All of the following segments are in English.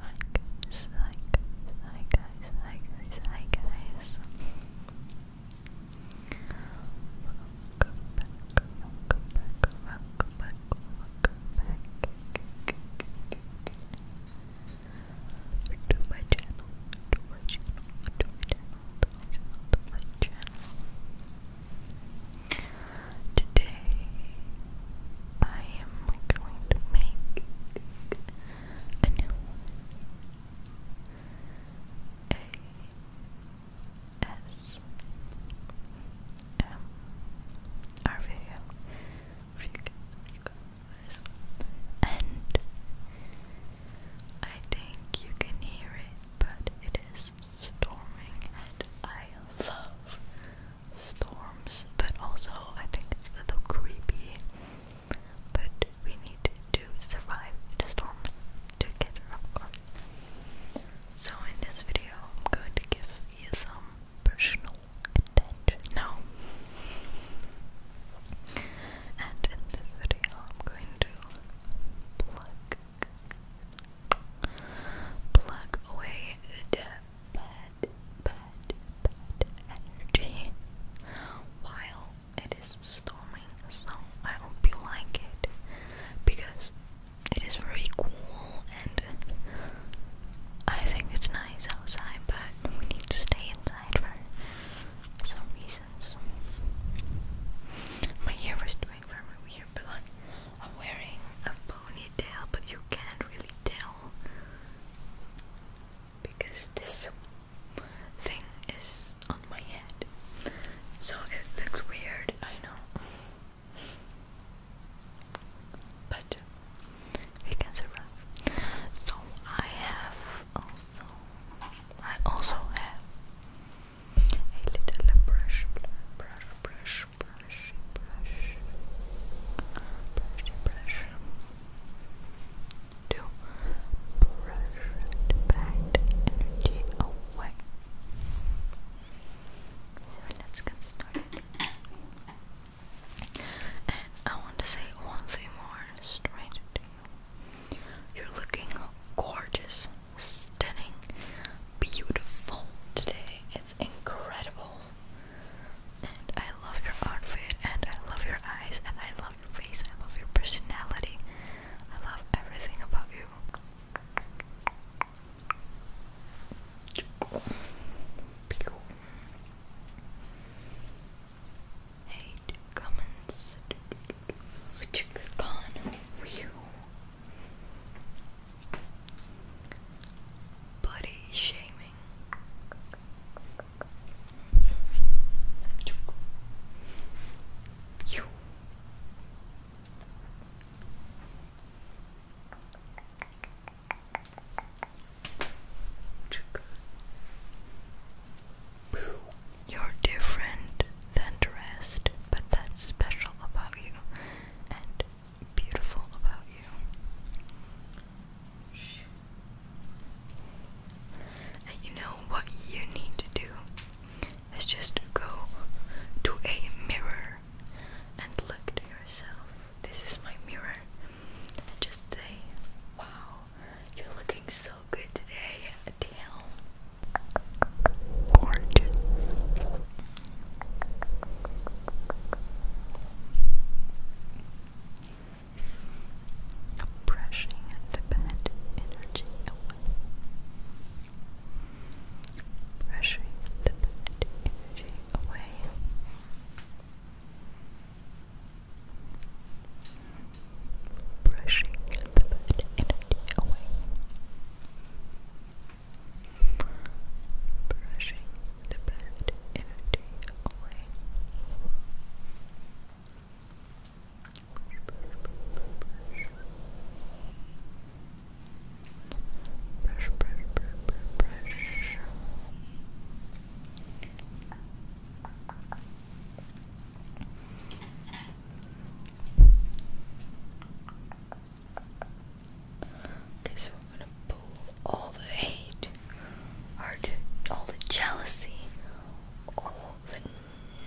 Hi guys, hi guys, hi guys, hi guys, hi guys. Welcome back, welcome back, welcome back, welcome back to my channel, to my channel, to my channel, to my channel, to my channel. Today I am going to make a new video. And I think you can hear it, but it is storming and I love storms, but also I think it's a little creepy. But we need to survive the storm together, of course. So in this video, I'm going to give you some personal attention now. And in this video, I'm going to plug plug away bad, bad, bad energy while it is storming. So I hope you like it because it is very cool and I think it's nice outside, but we need to stay inside for some reasons. My hair is doing very weird, I'm wearing a ponytail, but you can't really tell because this thing is on my head. So it looks weird, I know. But we can survive. So I have also I also have a little brush brush brush brush, brush, brush, brush, to brush the bad energy away. So let's get started. And I want to say one thing more straight You're looking gorgeous, stunning, beautiful today. It's incredible. And I love your outfit, and I love your eyes, and I love your face, I love your personality. I love everything about you. Hate comments. Body shaming. You. are different than the rest, but that's special about you and beautiful about you. And you know what you need to do is just go to a mirror and look at yourself. This is my mirror. And just say, wow, you're looking so good today. Damn. Oranges. Brushing the bad energy away. Brushing the bad energy away. Brushing the bad energy away brushing the bad energy away. brush, brush, brush, brush, brush Okay, so we're gonna pull all the hate, all the jealousy, all the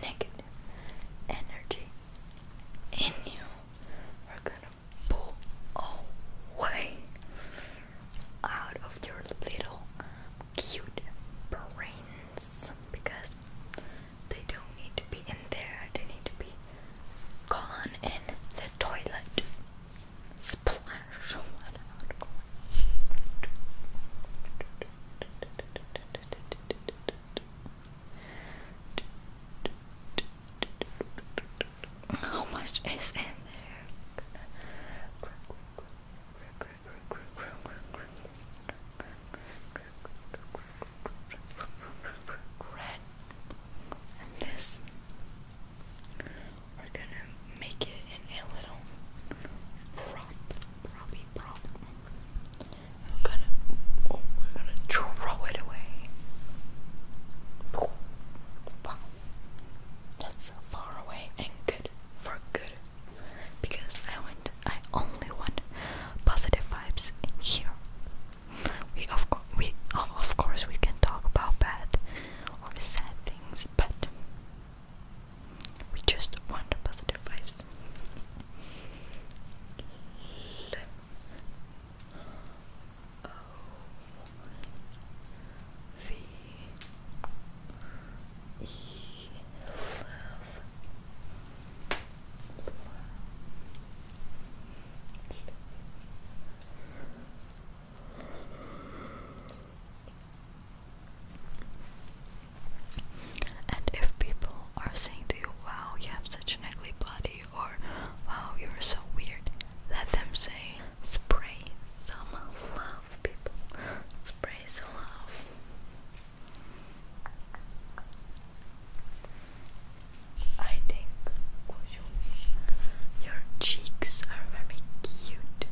negative energy in you. We're gonna pull away out of your little cute brains because they don't need to be in there. They need to be gone in the toilet. Splash How much is in there? red and this we're gonna make it in a little prop proppy prop I'm gonna oh we're gonna throw it away that's far away and good for good because I went I only want positive vibes in here. We of course we of course we can talk about bad or sad things, but we just want positive vibes and if people are saying to you, wow, you have such an ugly body, or wow, you're so weird, let them say, spray some love, people, spray some love. I think your cheeks are very cute.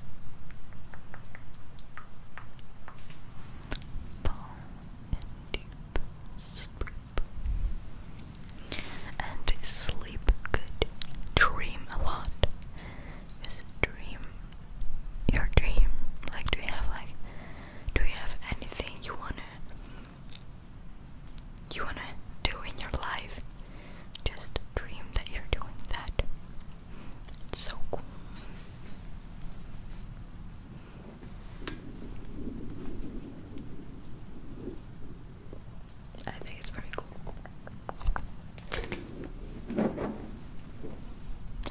Fall and deep sleep. And sleep good. Dream a lot. dream your dream? Like, do you have like, do you have anything you wanna, you wanna do in your life? Just dream that you're doing that. It's so cool. I think it's very cool.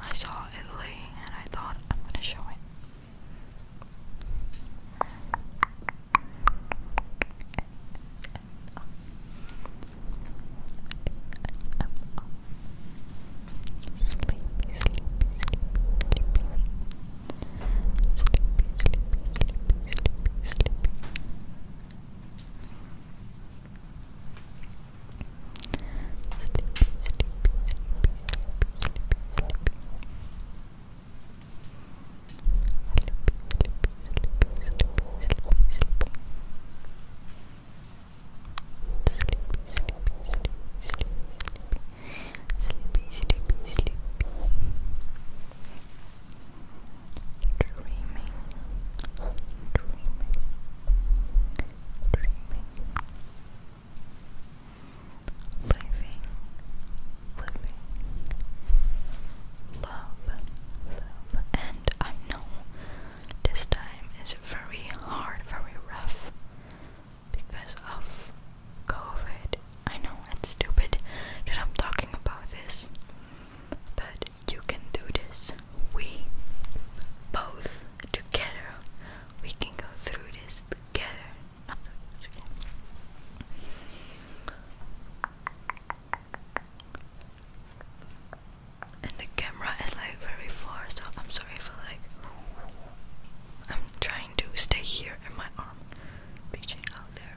I saw Italy and I thought I'm going to show it. Sleepy, sleepy, sleepy, sleepy. Sleepy, sleepy, sleepy, sleepy, sleepy sleepy, sleepy, sleepy, sleepy. Dreaming, dreaming, dreaming, living, living, love, love. And I know this time is very hard, very rough because of COVID. I know it's stupid that I'm talking about this. But you can do this. We both together. We can go through this together. And the camera is like very far, so I'm sorry for like. I'm trying to stay here in my arm, reaching out there.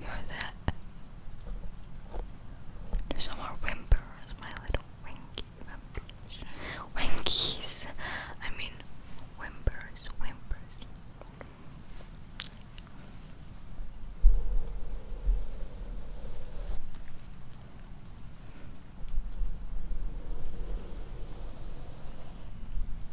you heard that? There's some more whimpers, my little winky whimpers. I mean, whimpers, whimpers.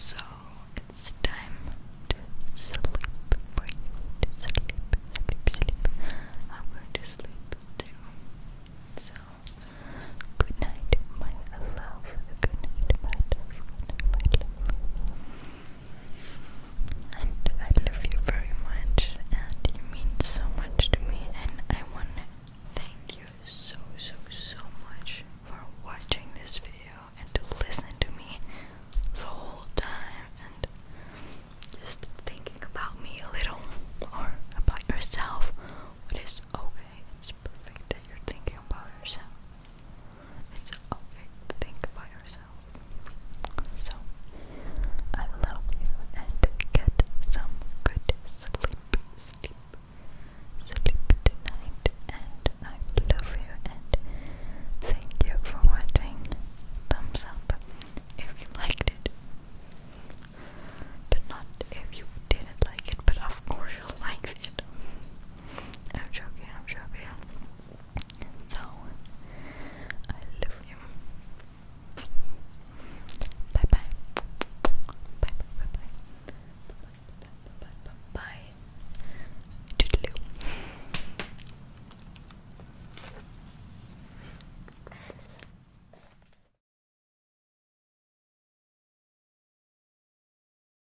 So it's time to sleep for you sleep, sleep, sleep. I'm going to sleep too. So good night, my love. Good night, my love. Good night, my love. And I love you very much, and you mean so much to me. And I want to thank you so, so, so much for watching this video and to listen to me the whole time and just thinking about me a little or about yourself. It is okay, it's perfect that you're thinking about yourself. It's okay to think by yourself. So, I love you and get some good sleep, sleep, sleep tonight. And I love you and thank you for watching. Thumbs up if you liked it. But not if you didn't like it, but of course you liked it. I'm joking, I'm joking. So, I love you. Bye bye. Bye bye bye bye. Bye bye bye bye. bye. Toodaloo.